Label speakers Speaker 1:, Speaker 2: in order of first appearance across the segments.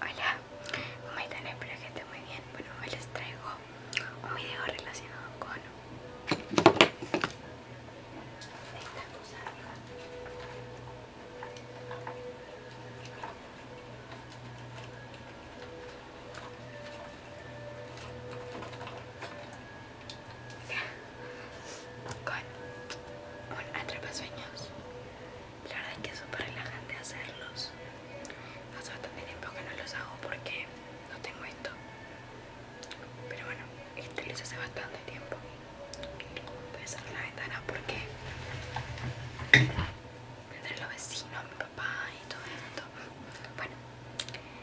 Speaker 1: Hola, ¿cómo están? Espero que estén muy bien. Bueno, hoy les traigo un video relacionado con esta cosa con un atrapasueños la verdad es que es súper relajante hacerlos hace bastante tiempo que no los hago porque no tengo esto pero bueno, este lo hace bastante tiempo voy a cerrar la ventana porque a los vecinos, mi papá y todo esto bueno,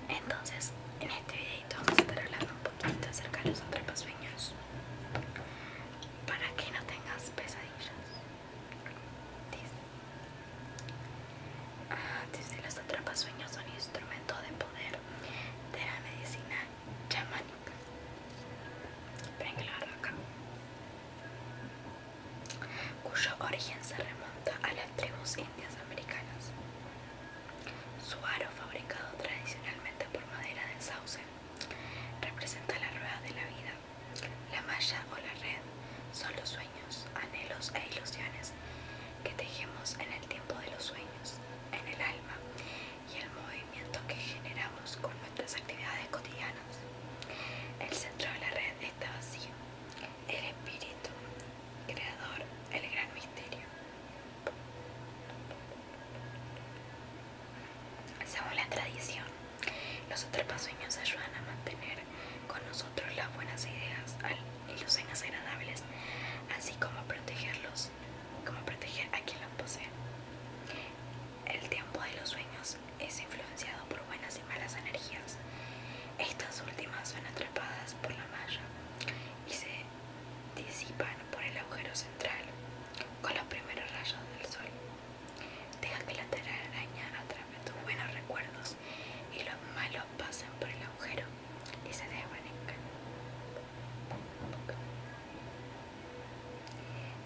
Speaker 1: entonces en este videito vamos a estar hablando un poquito acerca de los atrapasueños para que no tengas pesadillas. Dice, ah, dice sueños son instrumento de poder de la medicina chamánica. Esperen la Cuyo origen se remonta a las tribus indias americanas. Su aro fabricado tradicionalmente por madera del sauce Representa la rueda de la vida. La malla o la red son los sueños, anhelos e ilusiones que tejemos en el tiempo de los sueños, en el alma y el movimiento que generamos con nuestras actividades cotidianas. El centro de la red está vacío. El espíritu, creador, el gran misterio. Según la tradición, los atrapasueños ayudan a mantener con nosotros las buenas ideas y los sueños agradables, así como protegerlos, como proteger a quien los posee. El tiempo de los sueños es influenciado por buenas y malas energías. Estas últimas son atrapadas por la malla y se disipan por el agujero central con los primeros rayos del sol. Deja que la telaraña atrape tus buenos recuerdos y los malos pasen por el agujero y se desvanezcan.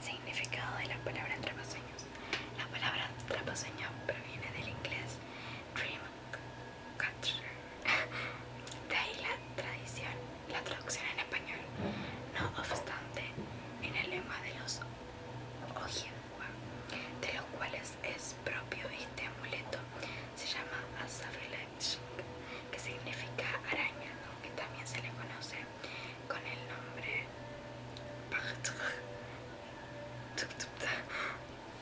Speaker 1: Significado de la palabra trapaseños. La palabra trapaseños proviene del inglés dream, de ahí la tradición, la traducción en español. No obstante, en el lema de los Ojibwa, de los cuales es propio este amuleto, se llama Asavilech, que significa araña, aunque también se le conoce con el nombre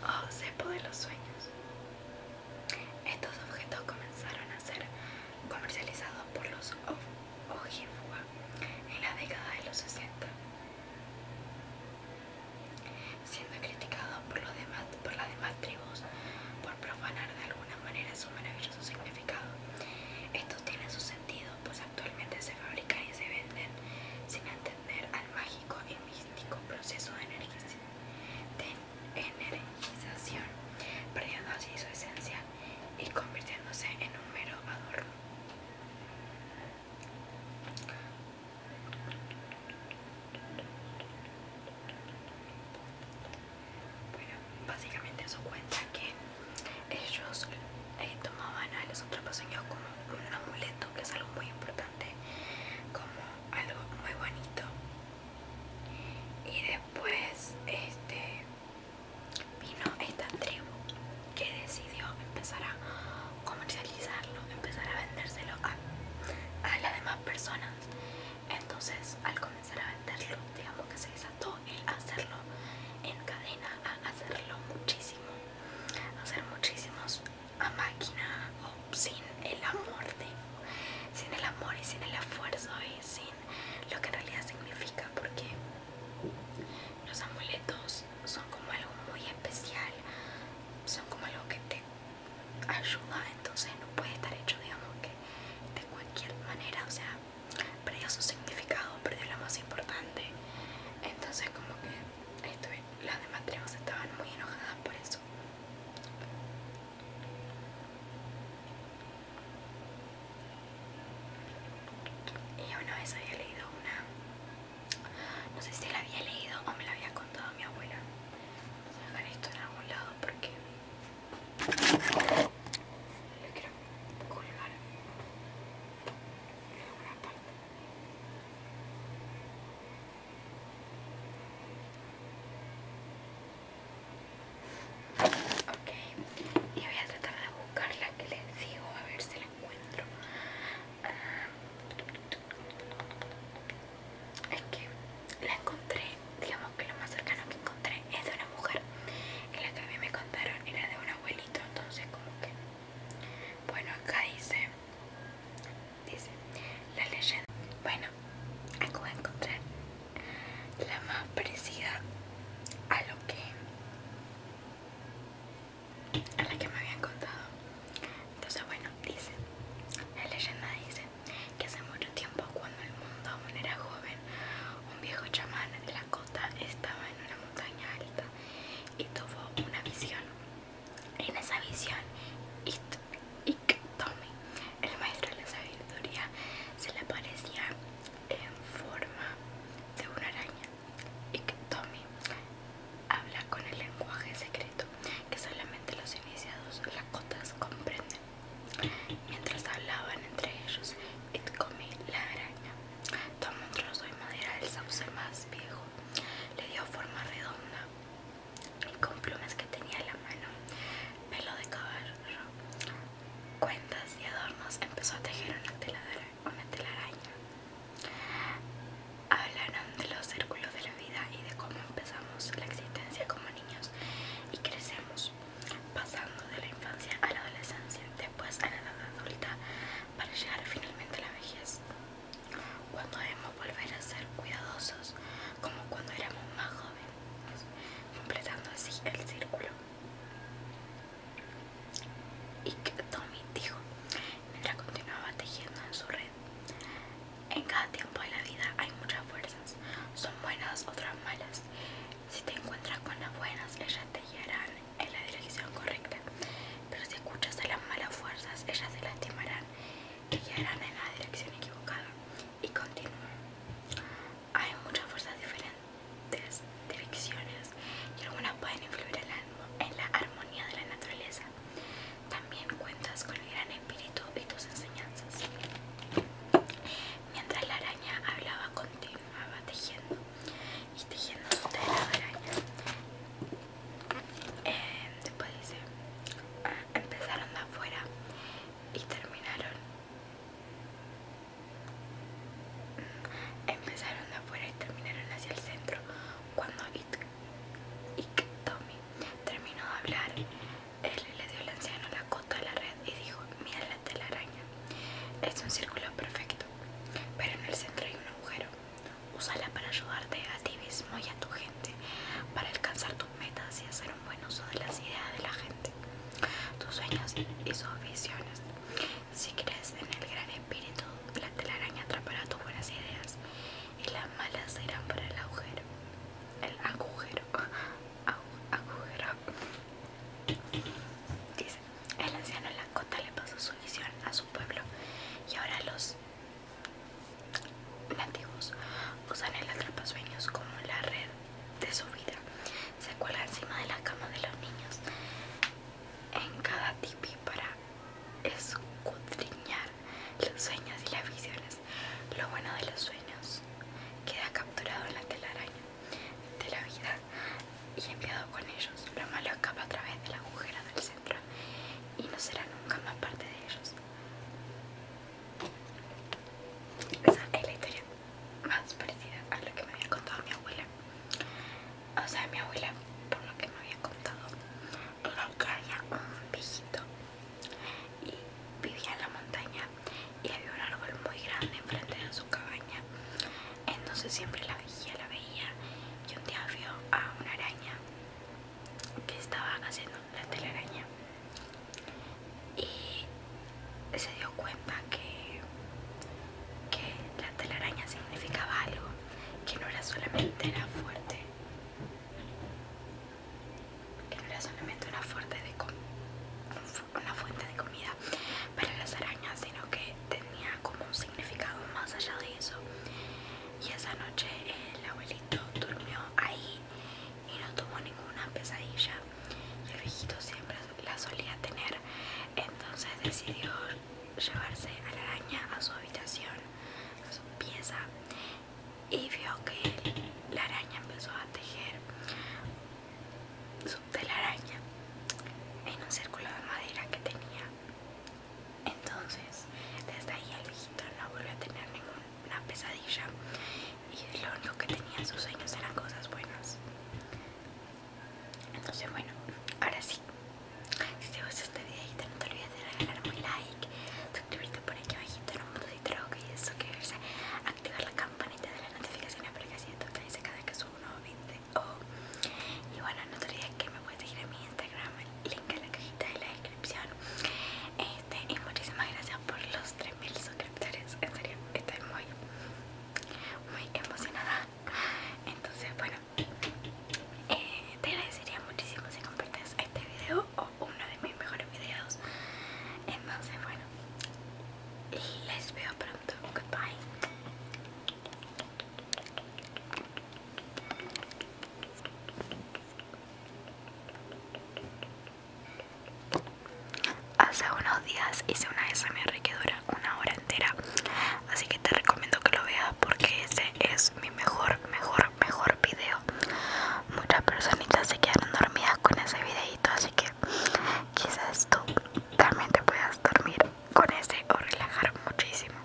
Speaker 1: o oh, cepo de los sueños. Estos objetos comenzaron a ser comercializados por los Ojifua en la década de los 60, siendo criticados por, los demás, por las demás tribus por profanar de alguna manera su maravilloso significado. Estos tienen su sentido, pues actualmente se fabrican y se venden sin entender al mágico y místico proceso de energía de energización, perdiendo así su esencia y convirtiéndose en un mero adorno. Bueno, básicamente eso cuenta que ellos eh, tomaban a los otros señores como un amuleto, que es algo muy importante como algo muy bonito y después este vino esta tribu que decidió empezar a comercializarlo empezar a vendérselo a, a las demás personas entonces al comenzar a venderlo digamos que se desató el hacerlo en cadena a hacerlo muchísimo hacer muchísimos a máquina o sin el amor sin el amor y sin el esfuerzo y sin lo que en realidad significa porque los amuletos son como algo muy especial son como algo que te ayuda entonces no puede estar hecho digamos que de cualquier manera o sea perdió su significado perdió lo más importante entonces como que las demás tribus estaban muy enojadas por eso. Y una vez había leído una, no sé si la había leído o me la había contado mi abuela. voy a dejar esto en algún lado porque quiero colgar en parte. Ok, y voy a tratar de buscarla que les digo, a ver si la encuentro. Ah, es que la encontré, digamos que lo más cercano que encontré es de una mujer. En la que a mí me contaron era de un abuelito, entonces como que bueno, acá dice, dice la leyenda. Bueno, acabo de encontrar la más parecida a lo que a la que me habían contado. Entonces, bueno, dice, la leyenda dice que hace mucho tiempo cuando el mundo aún era joven, un viejo chamán de la cota estaba en una montaña alta y tuvo una visión. En esa visión, Iktomi, el maestro de la sabiduría, se le aparecía en forma de una araña. Iktomi habla con el lenguaje secreto que solamente los iniciados cotas comprenden. Mientras hablaban entre ellos, Iktomi, la araña, Tomó un trozo de madera del sauce más viejo, le dio forma redonda y con plumas que tenía en la mano, pelo de caballo, cuentas y adornos, empezó a tejer una, una telaraña. Hablaron de los círculos de la vida y de cómo empezamos la existencia como niños y crecemos pasando de la infancia a la adolescencia, después a la edad adulta, para llegar finalmente a la vejez. Cuando debemos volver a ser cuidadosos, como cuando éramos más jóvenes, completando así el círculo. Y que Tommy dijo, mientras continuaba tejiendo en su red, en cada tiempo de la vida hay muchas fuerzas, son buenas, otras malas. Si te encuentras con las buenas, ellas te guiarán en la dirección correcta. Pero si escuchas a las malas fuerzas, ellas te lastimarán y guiarán en la dirección equivocada. Y continúa. Hay muchas fuerzas diferentes, direcciones, y algunas pueden influir en la armonía de la naturaleza. También cuentas con el gran espíritu y tus enseñanzas. Mientras la araña hablaba contigo, Ah, va tejiendo y tejiendo su tela de araña. Eh, después dice, ah, empezaron de afuera y terminaron. Empezaron de afuera y terminaron hacia el centro. Cuando Iktomi terminó de hablar, él le dio al anciano la cota de la red y dijo, mira la telaraña. Es un círculo perfecto, pero en el centro hay un agujero. Úsala para ayudarte a ti mismo y a tu gente, para alcanzar tus metas y hacer un buen uso de las ideas de la gente, tus sueños y sus visiones. Si crees en el gran espíritu, la telaraña atrapará tus buenas ideas y las malas serán para el agujero. El agujero a Dice, el anciano Lancota le pasó su visión a su pueblo y ahora los nativos usan el atrapasueños como la red de su vida. Se cuelga encima de la cama de los niños en cada tipi para escudriñar los sueños y las visiones lo bueno de los sueños queda capturado en la telaraña de la vida y enviado con ellos. Lo malo escapa a través de la agujera del centro y no será nunca más parte de ellos. Esa es la historia más parecida a lo que me había contado mi abuela. O sea, mi abuela, por lo que me había contado, lo que un viejito y vivía en la montaña y había un árbol muy grande enfrente de su cabaña entonces siempre la veía, la veía y un día vio a una araña que estaba haciendo la telaraña y se dio cuenta que, que la telaraña significaba algo que no era solamente era fuerte que no era solamente una fuente de, fuente de comida para las arañas, sino que tenía como un significado más allá de eso. Y esa noche el abuelito durmió ahí y no tuvo ninguna pesadilla. Y el viejito siempre la solía tener, entonces decidió llevarse a la araña a su habitación, a su pieza y vio que la araña empezó a tejer su telaraña en un círculo de madera que tenía. Entonces, desde ahí el hijito no volvió a tener ninguna pesadilla y lo único que tenía en sus sueños eran cosas buenas. Entonces, bueno, ahora sí. Si te gustó este video, no te olvides de regalarme un like suscribirte por aquí abajito en un botón de y suscribirse, activar la campanita de las notificaciones para que así te cada vez que subo un nuevo video. Oh. Y bueno, no te olvides que me puedes seguir en mi Instagram, el link en la cajita de la descripción. Este, y muchísimas gracias por los 3000 suscriptores, en serio, estoy muy, muy emocionada. Entonces, bueno, eh, te agradecería muchísimo si compartes este video o uno de mis mejores videos. Entonces, bueno, les veo pronto. Goodbye. Hace unos días hice una SMR que dura una hora entera, así que te recomiendo que lo veas porque ese es mi mejor, mejor, mejor, video. Muchas personitas se quedan dormidas con ese videito, así que quizás tú también te puedas dormir con ese o relajar muchísimo.